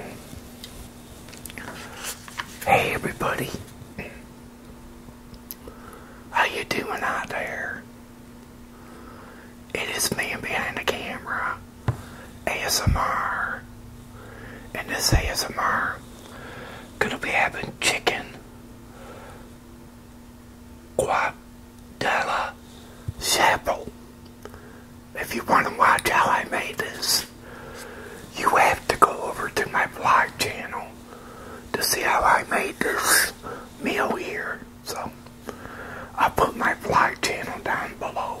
Hey everybody, how you doing out there? It is man behind the camera, ASMR, and this ASMR gonna be having chicken guadella chapel. If you want to watch how I made this, you have to go over to my vlog channel to see how I made this meal here. So, I'll put my vlog channel down below.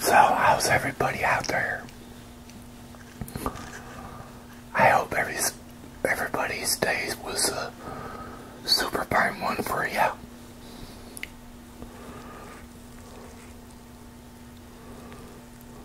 So, how's everybody out there? I hope every, everybody stays was a super prime one for you.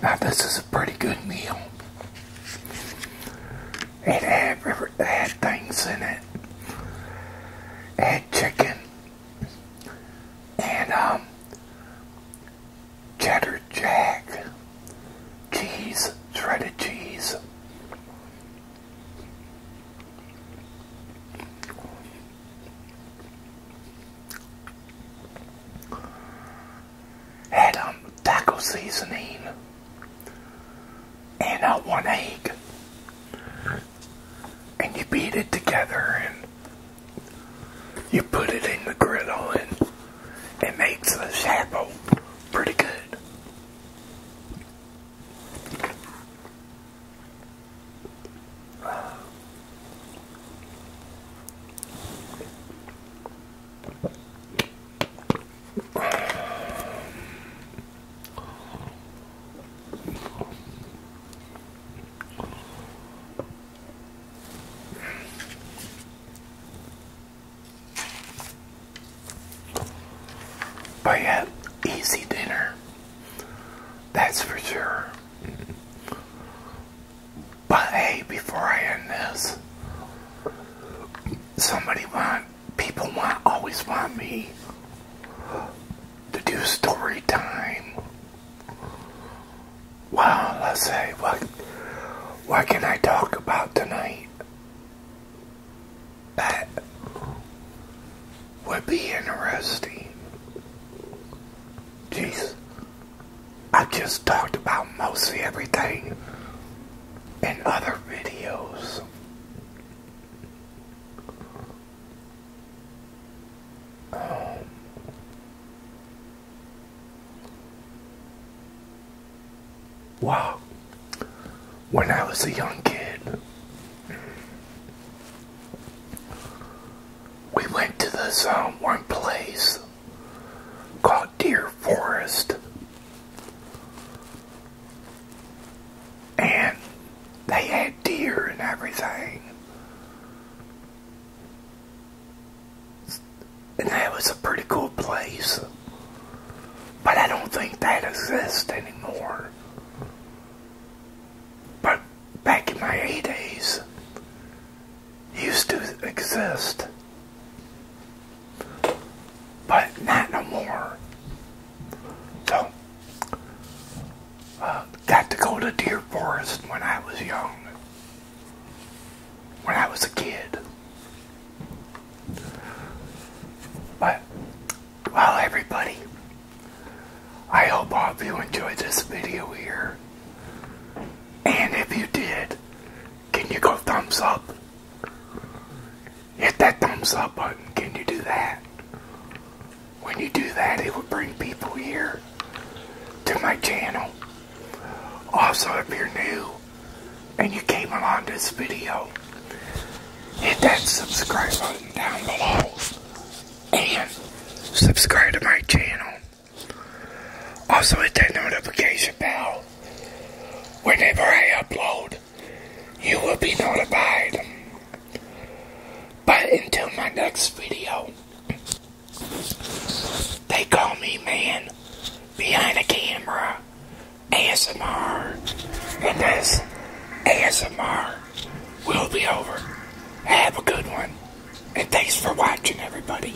Now this is a pretty good meal. It had, things in it. It had chicken and um, cheddar jack cheese, shredded cheese. Had um taco seasoning and uh, one egg and you beat it together and you put it in the griddle and it makes the shapple pretty good. But yeah, easy dinner. That's for sure. But hey, before I end this, somebody want people want always want me to do story time. Well, let's say what what can I talk about tonight that would be interesting. Jeez, I just talked about mostly everything in other videos. Um, wow. When I was a young kid, we went to this um, one place called Deer Forest and they had deer and everything. And that was a pretty cool place. But I don't think that exists anymore. But back in my 80s, used to exist. But not no more. So, uh, got to go to Deer Forest when I was young, when I was a kid. But, well, everybody, I hope all of you enjoyed this video here. And if you did, can you go thumbs up? Hit that thumbs up button. Can you do that? when you do that, it will bring people here to my channel. Also, if you're new and you came along this video, hit that subscribe button down below and subscribe to my channel. Also, hit that notification bell. Whenever I upload, you will be notified. But until my next video, they call me man behind the camera ASMR, and this ASMR will be over. Have a good one, and thanks for watching, everybody.